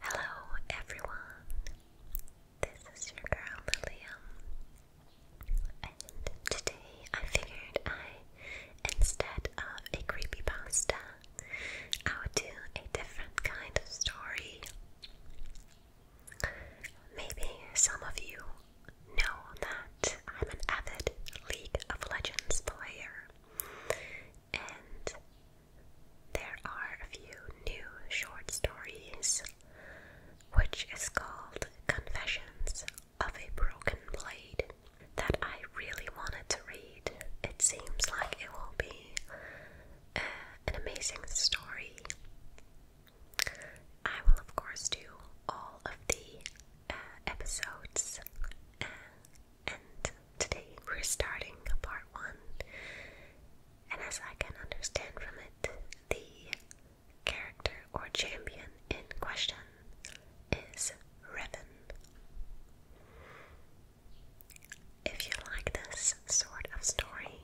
Hello, everyone. This is your girl Lilium, and today I figured I, instead of a creepy pasta, I would do a different kind of story. Maybe some of you know that I'm an avid League of Legends player and there are a few new short stories, which is called Confessions of a Broken Blade, that I really wanted to read. It seems like it will be uh, an amazing story. I will, of course, do all of the uh, episodes uh, and today we're starting part one. And as I can understand from it, the character or champion in question is Revan. If you like this sort of story,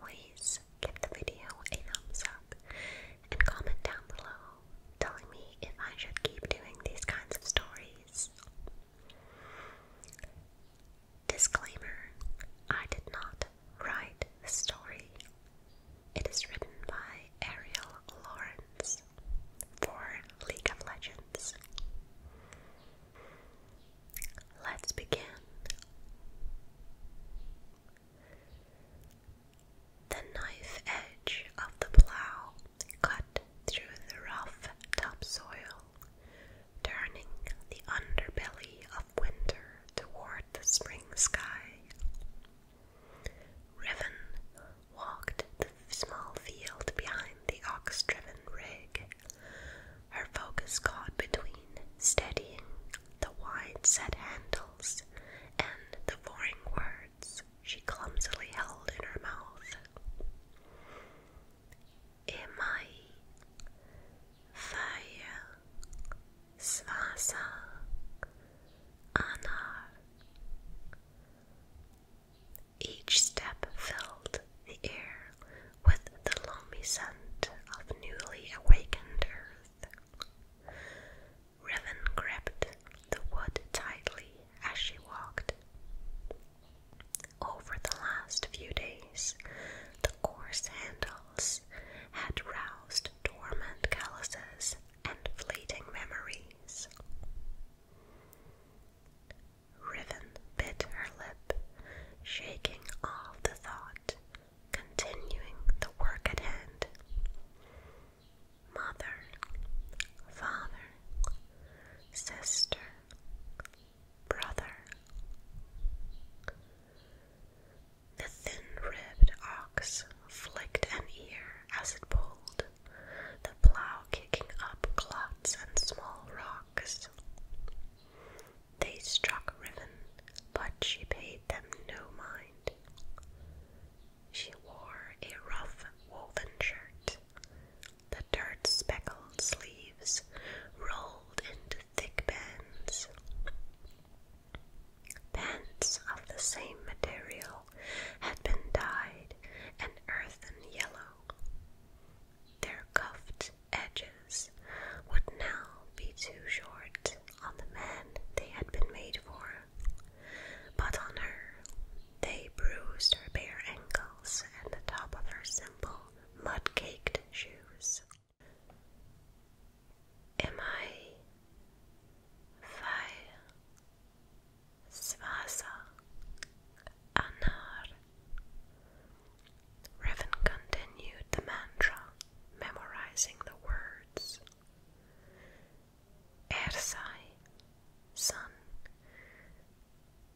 please give the video a thumbs up and comment down below telling me if I should keep doing these kinds of stories Disclaimer I did not write the story. It is written by Ariel Lawrence for League of Legends. Let's begin. The knife edge of the plow cut through the rough topsoil, turning the underbelly of winter toward the spring sky. Riven walked the small field behind the ox driven rig. Her focus caught between steadying the wide set handles and the boring words she clumsily held in her mouth immer Feuer, das Anna. Each step filled the air with the lonely scent of newly awakened earth. Riven gripped the wood tightly as she walked. Over the last few days, the coarse handles had roused dormant calluses and fleeting memories. Riven bit her lip, shaking off the thought, continuing the work at hand. Mother, father, sister, brother. The thin-ribbed ox flicked an ear as it pulled, the plow kicking up clots and small rocks. They struck Riven, but she paid them no mind. She wore a rough woven shirt, the dirt speckled sleeves rolled into thick bands. Pants of the same material had been dyed an earthen yellow. Their cuffed edges would now be too short on the man they had been made for, but on her they bruised her bare ankles and the top of her simple mud caked shoes. Am I weil Wasser anar? Revan continued the mantra, memorizing the words. Er sun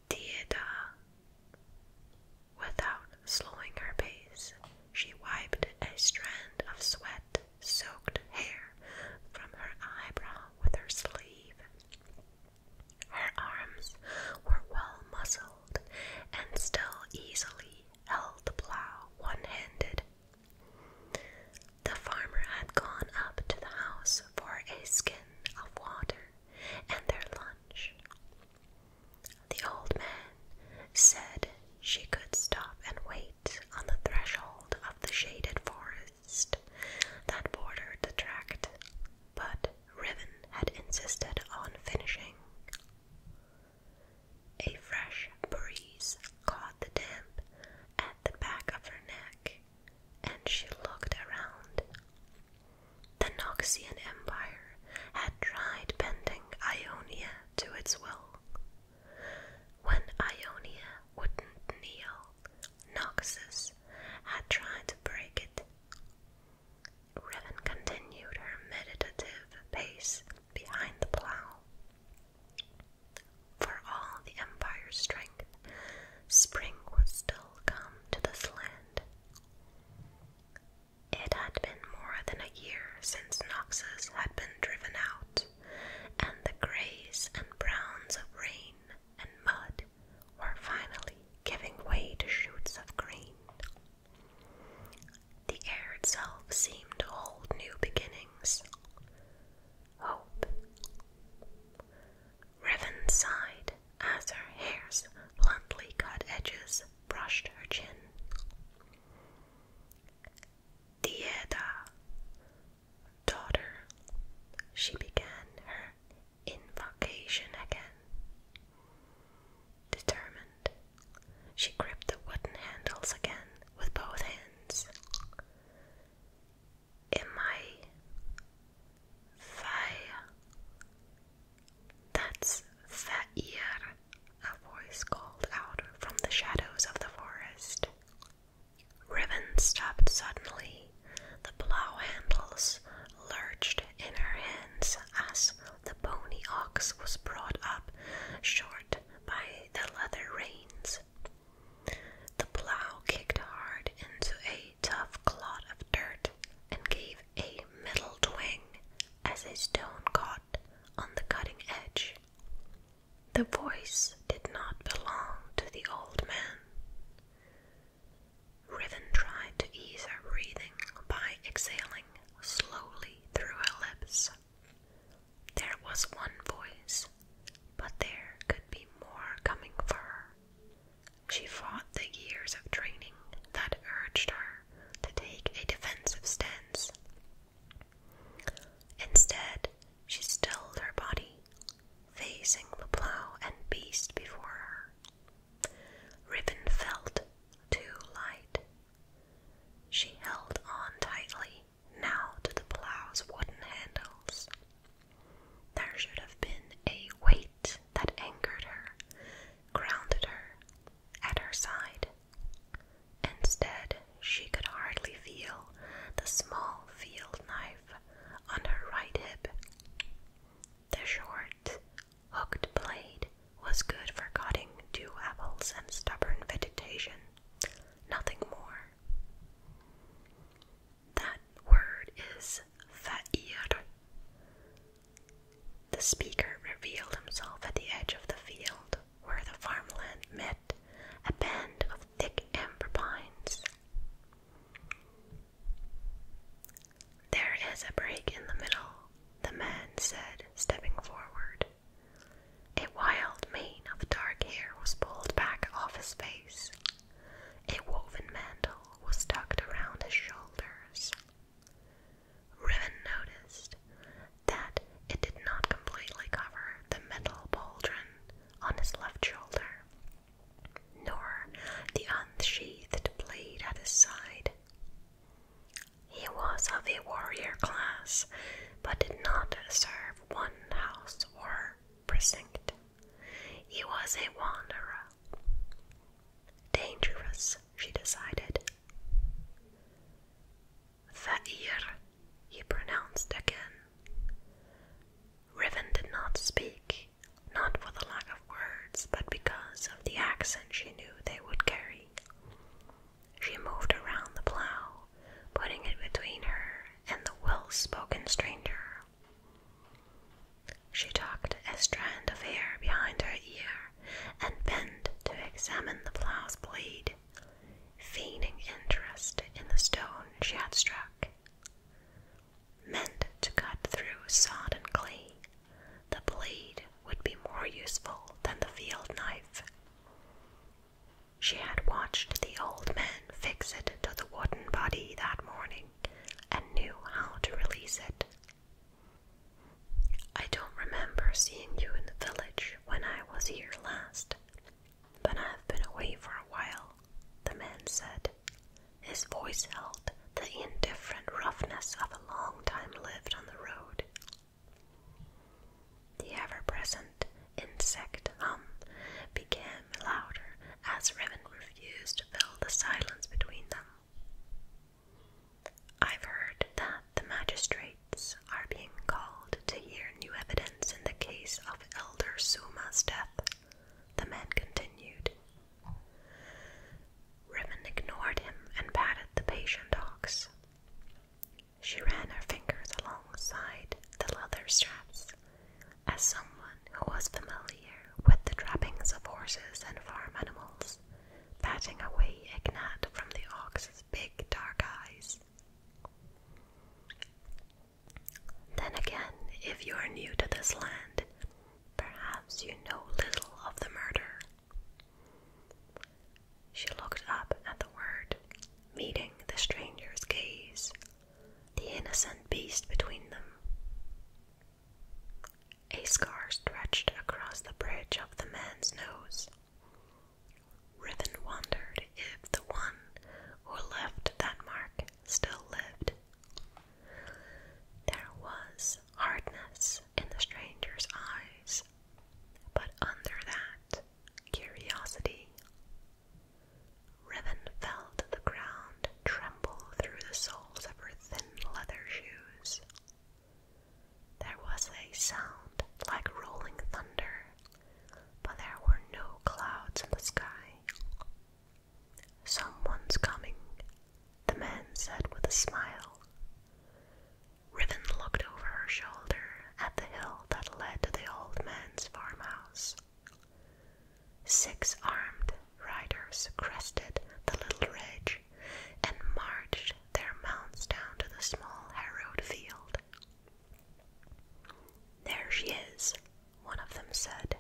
theater. Without slowing her pace, she wiped a strand of sweat soaked hair from her eyebrow with her sleeve. Her arms were well muscled and still easily held the plow one handed. The farmer had gone up to the house for a skin of water and their lunch. The old man said she could stop and wait on the threshold of the shaded forest that bordered the tract, but Riven had insisted on finishing. A fresh breeze caught the damp at the back of her neck and she looked around. The Noxian Empire had tried bending Ionia to its will. When Ionia wouldn't kneel, Noxus had tried to break it. Riven continued her meditative pace behind the plough. For all the Empire's strength, spring would still come to this land. It had been more than a year since Noxus had been driven out, and the greys and browns of rain and mud were finally giving way to shoots of green. The air itself seemed to hold new beginnings. Hope. Revan sighed as her hair's bluntly cut edges brushed her chin. Dieda, daughter, she began her invocation again. Determined, she gripped the wooden handles again with both hands. Am I fire. That's Fa'ir, a voice called out from the shadows of the forest. Riven stopped suddenly. The plow handles lurched in her hands as the pony ox was brought up short by the leather reins. The plow kicked hard into a tough clot of dirt and gave a middle twang as a stone caught on the cutting edge. The voice did not belong to the old man. Riven tried to ease her breathing by exhaling slowly through her lips. There was one voice, but there could be more coming for her. She fought the years of training that urged her to take a defensive stance. Instead, she stilled her body, facing the plow and beast before her. Ribbon felt too light. She held on tightly now to the plow's wooden handles, there should have been a weight that anchored her, grounded her, at her side. Instead, she could hardly feel the small field knife on her right hip. The short, hooked blade was good for cutting dew apples and stubborn vegetation, nothing more. That word is fa'ir. The speaker revealed himself at the edge of the field where the farmland met a band of thick amber pines. There is a break in the middle, the man said, stepping forward. A wild mane of dark hair was pulled back off his face, a woven mantle was tucked around his shoulders. Riven noticed that it did not completely cover the metal pauldron on his left shoulder, nor the unsheathed blade at his side. He was of a warrior class, but did not serve one house or precinct. He was a wanderer Dangerous, she decided. Fa'ir, he pronounced again. Riven did not speak, not for the lack of words, but because of the accent she knew they would carry. She moved around the plough, putting it between her and the well spoken stranger. She tucked a strand of hair behind her ear and bent to examine the plow's blade, feigning interest in the stone she had struck. Meant to cut through sod and clay, the blade would be more useful than the field knife. She had watched the old man fix it to the wooden body that morning and knew how to release it. I don't remember seeing you in the village when I was here last, but I've been away for a while, the man said. His voice held the indifferent roughness of a long time lived on the road. The ever present insect hum began louder as Raven refused to fill the silence between them. I've heard that the magistrates are being called to hear new evidence in the case of Elder Suma's death, the man continued. Riven ignored him and patted the patient dog's. She ran her fingers alongside the leather straps as someone who was familiar with the trappings of horses and farm animals, patting away Ignat from the ox's big dark eyes. Then again, if you are new to this land, perhaps you know little of the murder. She looked up at the word, meeting the stranger's gaze, the innocent beast between them. A scar stretched across the bridge of the man's nose. Riven wondered if the one who left that mark still lived. There was hardness in the stranger's eyes, but under that, curiosity. Riven felt the ground tremble through the soles of her thin leather shoes. There was a sound like rolling thunder, but there were no clouds in the sky. Someone's coming, the man said with a smile. Riven looked over her shoulder at the hill that led to the old man's farmhouse. Six armed riders crested the little ridge and marched their mounts down to the small harrowed field. There she is, one of them said.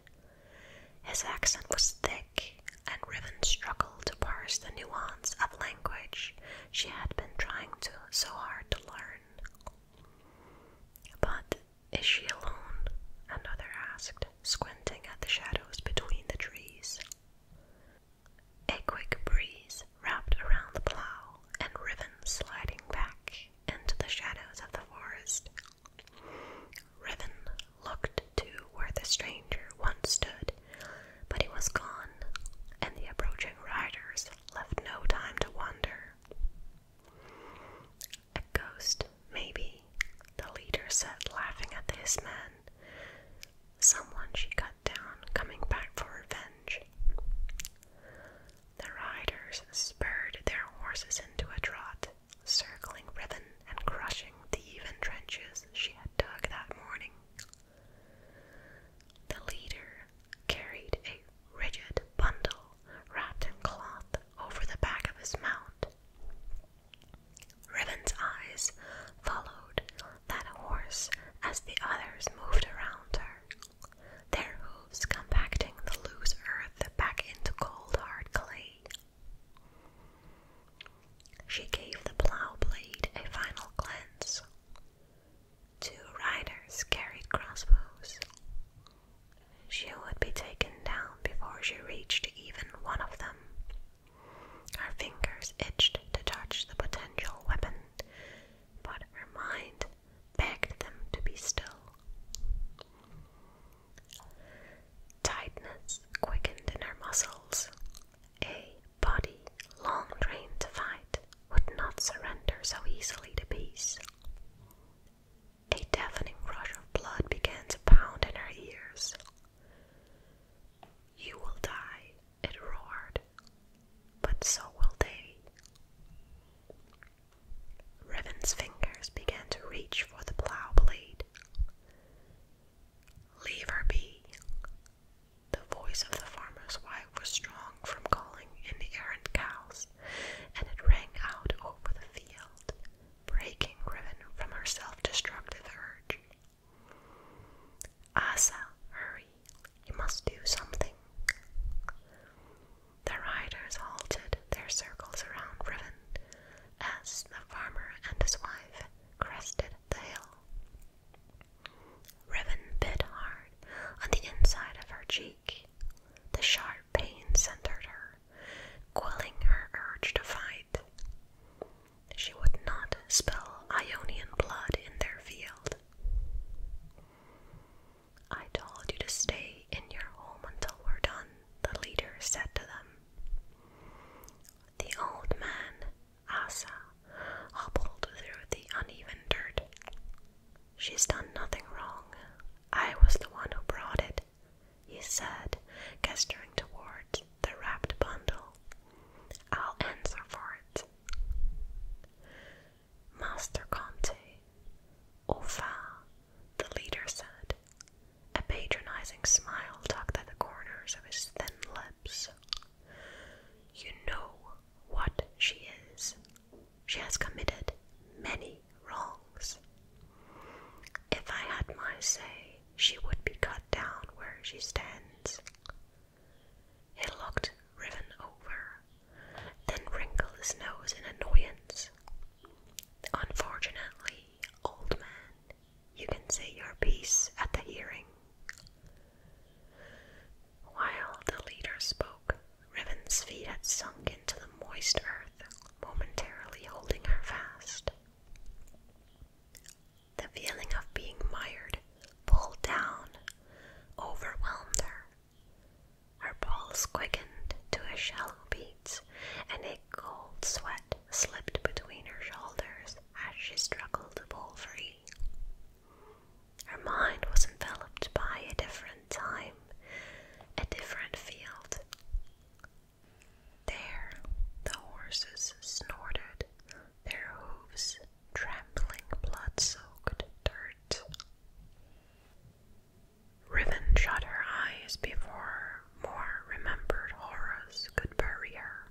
His accent was thick, and Riven struggled to parse the nuance of language she had been trying so hard to learn. But is she alone? Another asked, squinting at the shadows between the trees. A quick breeze wrapped around the plow and Riven sliding back into the shadows of the forest. Riven looked to where the stranger once stood, but he was gone, and the approaching riders left no time to wonder. A ghost, maybe, the leader said, laughing at his men. Someone she cut down, coming back for revenge. The riders spurred their horses into a trot, circling Riven and crushing the even trenches she had dug that morning. The leader carried a rigid bundle wrapped in cloth over the back of his mount. Ribbon's eyes followed that horse as the others moved around her, their hooves compacting the loose earth back into cold hard clay. She gave the plow blade a final glance. Two riders carried crossbows she would be taken down before she reached even one of them. Her fingers itched to touch the potential weapon, but her mind begged them to be still. Tightness quickened in her muscles. A body long trained to fight would not surrender so easily to peace. A deafening rush of blood began to pound in her ears. You will die, it roared, but so will they. Riven's fingers began to reach for the plow blade. Leave her be. The voice of the farmer's wife was strong from calling in the errant cows, and it rang out over the field breaking Riven from her self destructive urge. Asa, hurry, you must do something. The riders halted their circles around Riven as the farmer and his wife crested the hill. Riven bit hard on the inside of her cheek. The sharp pain centered her quelling her urge to fight. She would not spill Ionian blood in their field. I told you to stay in your home until we're done, the leader said to them. The old man, Asa, hobbled through the uneven dirt. She's done nothing wrong. I was the one who brought it, he said, gesturing toward the wrapped bundle. I'll answer for it. Master Conte, au revoir, the leader said, a patronizing smile tucked at the corners of his thin lips. You know what she is. She has committed many wrongs. If I had my say, she would be cut down where she stands. He looked Riven over, then wrinkled his nose in annoyance. Unfortunately, old man, you can say your piece at the hearing. While the leader spoke, Riven's feet had sunk into the moist earth, momentarily holding her fast. The feeling of being mired, pulled down, overwhelmed her. Her pulse quickened to a shallow beat, and a cold sweat slipped between her shoulders as she struggled to pull free. Her mind was enveloped by a different time, a different field. There the horses snorted, their hooves trampling blood soaked dirt. Riven shut her eyes before more remembered horrors could bury her.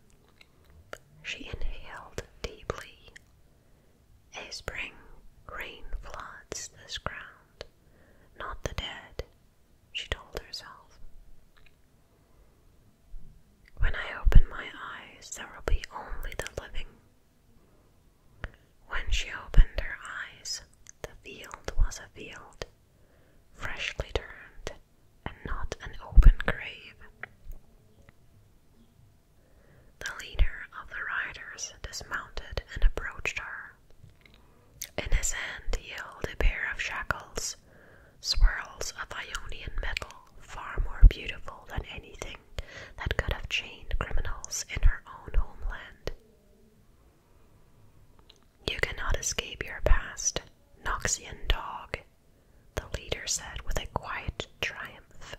She inhaled deeply. A spring rain floods this ground, not the dead she told herself. When I open my eyes, there will be only the living. When she opened her eyes, the field was a field, freshly turned, and not an open grave. The leader of the riders dismounted and approached her. In his hand he held a pair of shackles, swirls of Ionian metal, far more beautiful than anything that could have chained criminals in her own homeland. You cannot escape your past, Noxian dog, the leader said with a quiet triumph.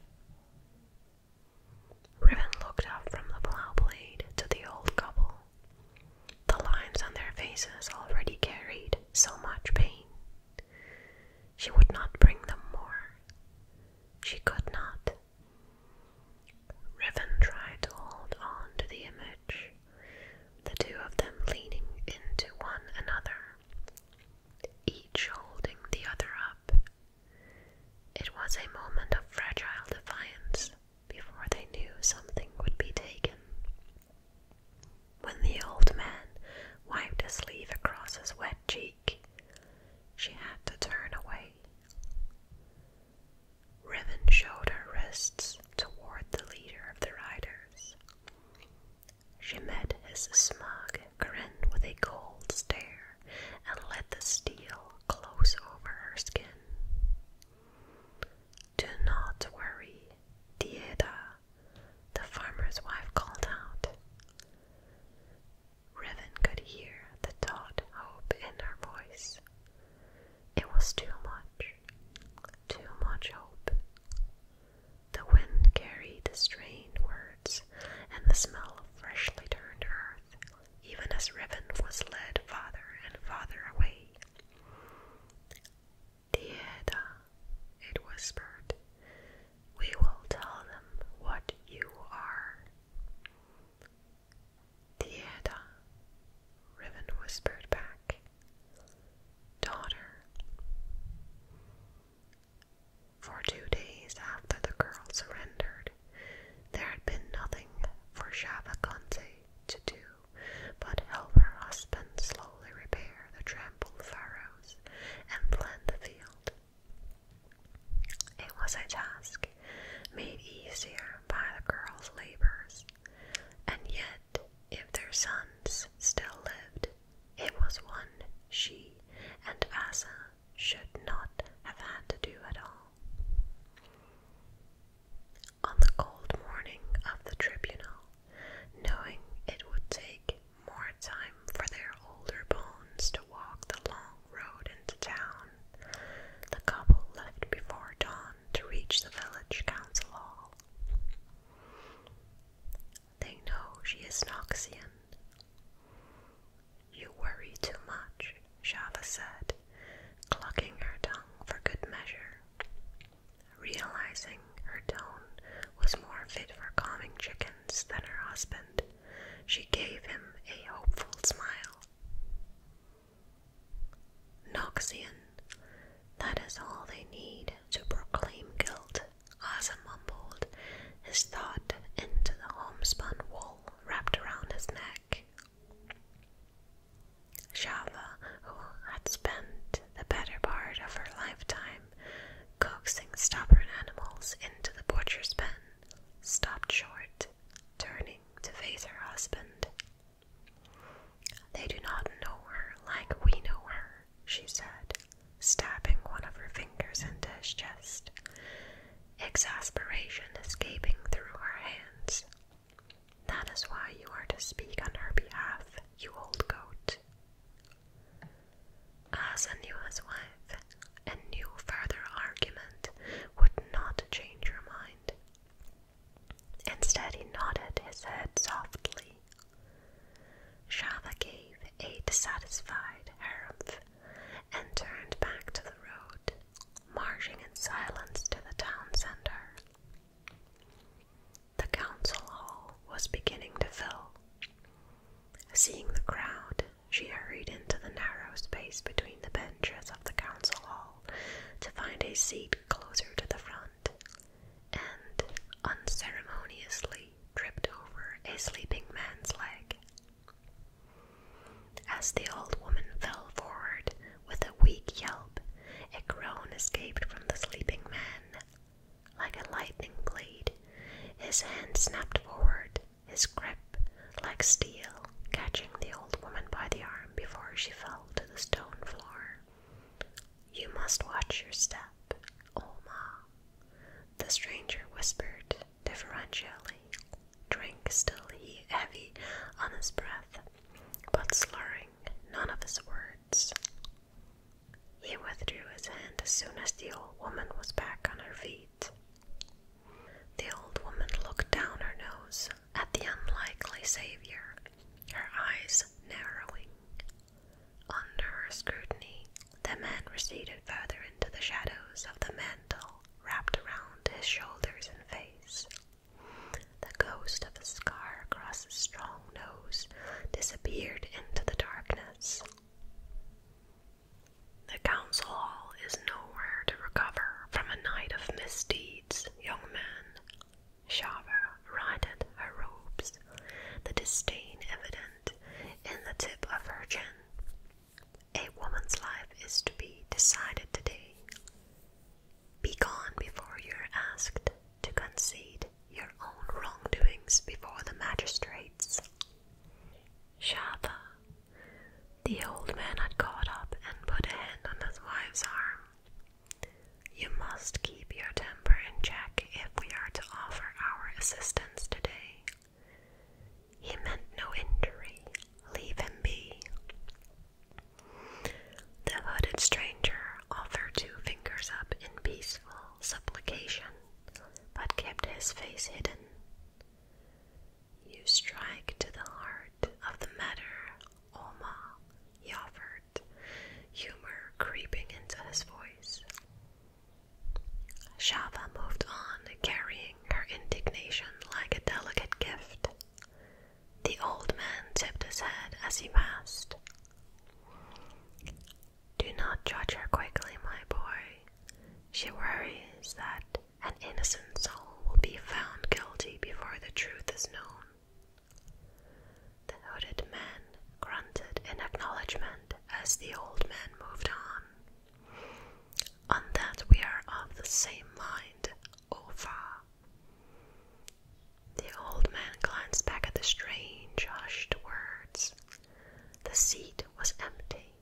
Riven looked up from the plow blade to the old couple. The lines on their faces already carried so much pain. She would not bring them more. She could not. Riven tried to hold on to the image, the two of them leaning into one another, each holding the other up. It was a moment of fragile defiance, before they knew something would be taken. When the old man wiped a sleeve across his wet cheek, she had to turn away. Riven showed her wrists toward the leader of the riders. She met his smug grin with a cold stare and let the steel close over her skin. Do not worry, Dieda, the farmer's wife called out. Riven could hear the taut hope in her voice. It was too much, too much hope. The wind carried the strained words and the smell of freshly turned earth, even as Riven was led farther and farther away Theater, it whispered, we will tell them what you are. Theater, Riven whispered back. Daughter. For two days after the girl surrendered, there had been nothing for Shavakante to do but help her husband slowly repair the trampled furrows and plant the field. It was a task made easier by the girl's labors, and yet, if their sons still lived, it was one she and Asa should not have had to do at all. On the cold morning of the tribunal, knowing it would take more time for their older bones to walk the long road into town, the couple left before dawn to reach the village council hall. They know she is Noxian. You worry too much, Shava said clucking her tongue for good measure. Realizing her tone was more fit for calming chickens than her husband, she gave him a hopeful smile. Noxian, that is all they need to proclaim guilt, Asa mumbled, his thought into the homespun wool wrapped around his neck. Shava, who had spent the better part of her lifetime coaxing stubborn animals into the butcher's pen, stopped short, turning to face her husband. They do not know her like we know her, she said, stabbing one of her fingers into his chest, exasperation escaping through her hands. That is why you are to speak on her behalf, you old goat. As a his wife, and knew further argument would not change your mind. Instead, he nodded his head softly. Shava gave a dissatisfied harrumph and turned back to the road, marching in silence to the town center. The council hall was beginning to fill. Seeing the crowd, she hurried into the narrow space between the benches of the council hall to find a seat closer to the front, and unceremoniously tripped over a sleeping man's leg. As the old woman fell forward, with a weak yelp, a groan escaped from the sleeping man. Like a lightning blade, his hand snapped forward, his grip, like steel, catching the old woman by the arm before she fell to the stone floor. You must watch your step, Olma, the stranger whispered deferentially, drink still heavy on his breath, but slurring none of his words. He withdrew his hand as soon as the old woman was back on her feet. The old woman looked down her nose at the unlikely savior, her eyes narrowing. Under her scrutiny, the man receded further into the shadows of the mantle wrapped around his shoulders and face. The ghost of a scar across his strong nose disappeared into the darkness. The council hall is nowhere to recover from a night of misdeeds, young man. Shava righted her robes, the disdain evident in the tip of her chin. A woman's life is to be decided today. Be gone before you're asked to concede your own wrongdoings before the magistrates. Shatha. The old man had caught up and put a hand on his wife's arm. You must keep your temper in check if we are to offer our assistance today. He meant no injury. Leave him be. The hooded stranger offered two fingers up in peaceful supplication, but kept his face hidden. You strike to the heart of the matter, Oma, he offered, humor creeping into his voice. Shava moved on, carrying her indignation like a delicate gift. The old man tipped his head as he passed. Do not judge her quickly, my boy. She worries that an innocent soul will be found guilty before the truth is known. The hooded man grunted in acknowledgement as the old man moved on. On that we are of the same mind, over. The old man glanced back at the strange, hushed words. The seat was empty,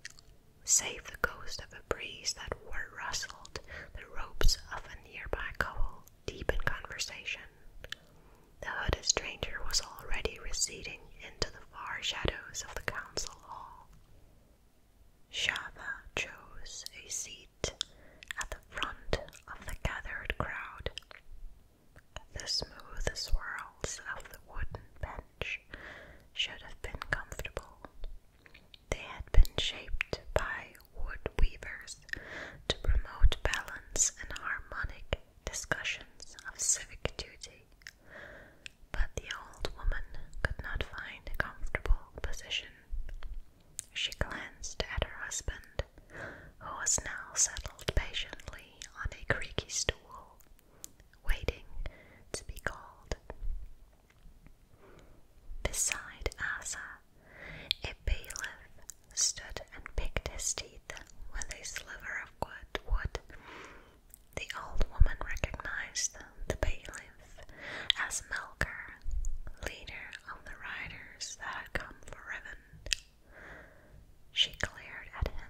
save the ghost of a breeze that rustled the ropes of a nearby couple deep in conversation. The hooded stranger was already receding into the far shadows of the council hall. Shava chose a seat at the front of the gathered crowd. The smooth swirls of the wooden bench should have been comfortable. They had been shaped by wood weavers to promote balance and harmonic discussions of civic duty, but the old woman could not find a comfortable position. She glanced at her husband, who was now settled patiently on a creaky stool, waiting to be called. Beside Asa, a bailiff stood and picked his teeth with a sliver of good wood. The old woman recognized the bailiff as Melker, leader of the riders that come for Rivend. She glared at him,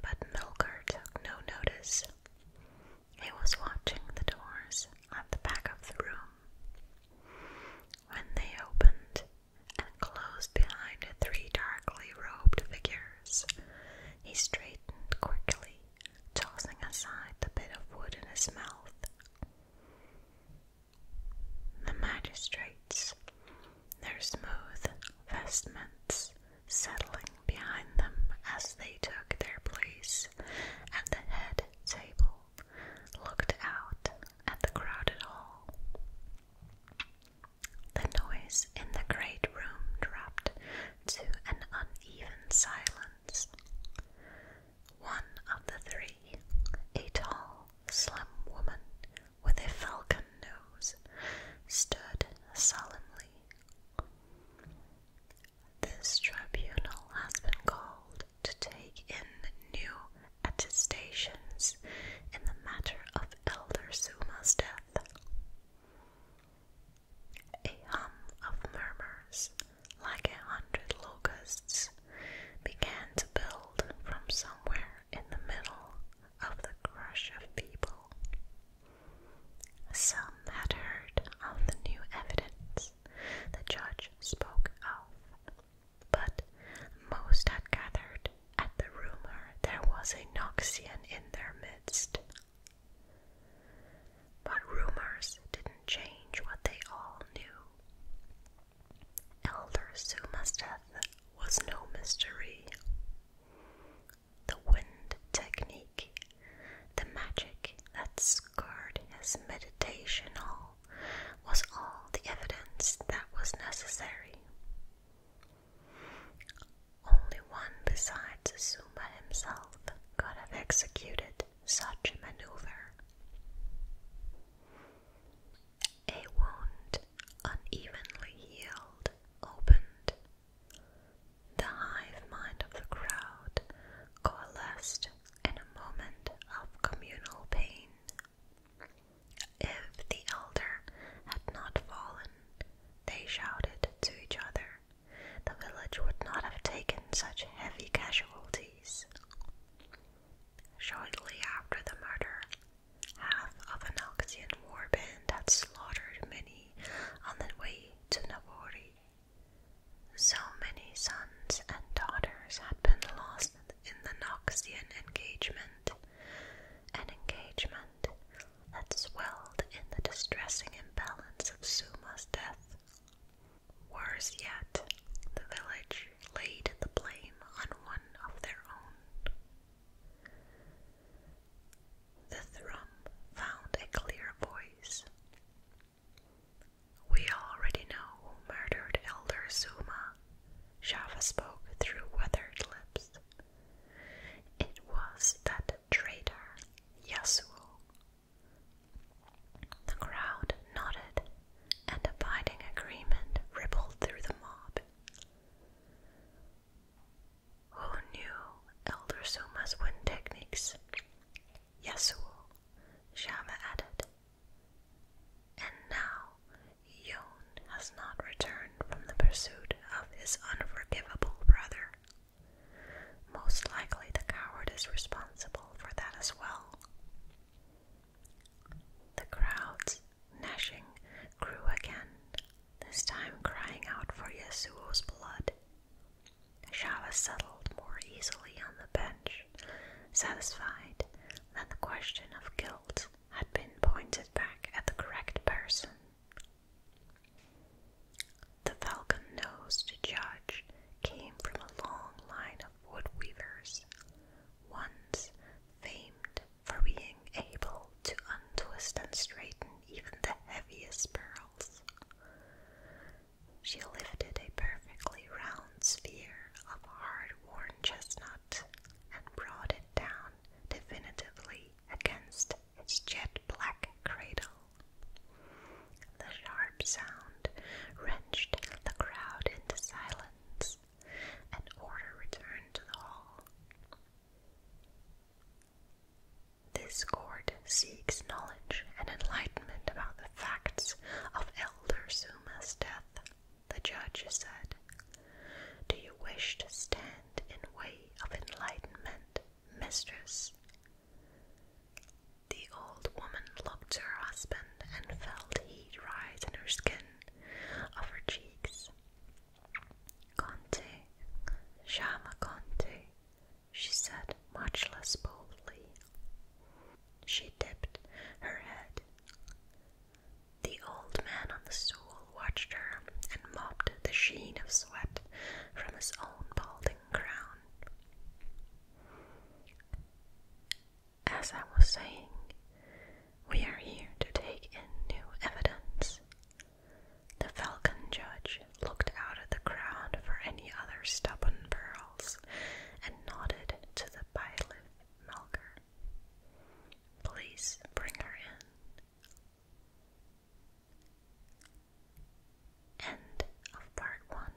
but Milker took no notice. He was watching the doors at the back of the room. When they opened and closed behind three darkly robed figures, he straightened quickly, tossing aside the bit of wood in his mouth. The magistrates, their smooth vestments settling behind them as they took their place at the head table, looked out at the crowded hall. The noise in the great room dropped to an uneven silence. One of the three, a tall, slim woman with a falcon nose, stood solemnly. This tribunal has been called to take in new attestations in the matter of Elder Suma's death. A hum of murmurs like a hundred locusts, began to build from somewhere in the middle of the crush of people. Some had heard of the new evidence the judge spoke of, but most had gathered at the rumor there was a Noxian in their midst. But rumors didn't change what they all knew. Elder Suma's death was no mystery. The wind technique, the magic that scarred his meditation hall, was all the evidence that was necessary. Only one besides Suma himself could have executed such a maneuver. A wound unevenly healed opened. The hive mind of the crowd coalesced in a moment of communal pain. If the elder had not fallen, they shouted to each other, the village would not have taken such heavy casualties. Shortly after the murder, half of an Oxian warband had slaughtered many on the way to Navori. So many sons and daughters had been lost in the Noxian engagement, an engagement that swelled in the distressing imbalance of Suma's death. Worse yet, the village laid the blame on one of their own. The thrum found a clear voice. We already know who murdered Elder Zuma. Shava spoke through weathered lips. It was that traitor, Yasuo. The crowd nodded, and a binding agreement rippled through the mob. Who knew Elder Suma's wind techniques? Yasuo, Shama added. And now, Yon has not returned from the pursuit of his unforgivable brother. Most likely the coward is responsible for that as well. The crowds, gnashing, grew again, this time crying out for Yasuo's blood. Shava settled more easily on the bench, satisfied that the question of guilt had been pointed back at the correct person. The falcon nosed judge came from a long line of wood weavers, once famed for being able to untwist and straighten even the heaviest pearls. She lifted a perfectly round sphere of hard worn chestnut and brought it down definitively against its jet black cradle. The sharp sound wrenched the crowd into silence, and order returned to the hall. This court seeks knowledge and enlightenment about the facts of Elder Zuma's death, the judge said. Do you wish to stand in way of enlightenment, mistress? The old woman looked to her husband and felt heat rise in her skin of her cheeks. Conte, Shama Conte, she said much less boldly. She dipped her head. The old man on the stool watched her and mopped the sheen of sweat from his own balding crown. As I was saying, we are here to take in new evidence. The falcon judge looked out at the crowd for any other stubborn pearls and nodded to the pilot milker. Please bring her in. End of part one.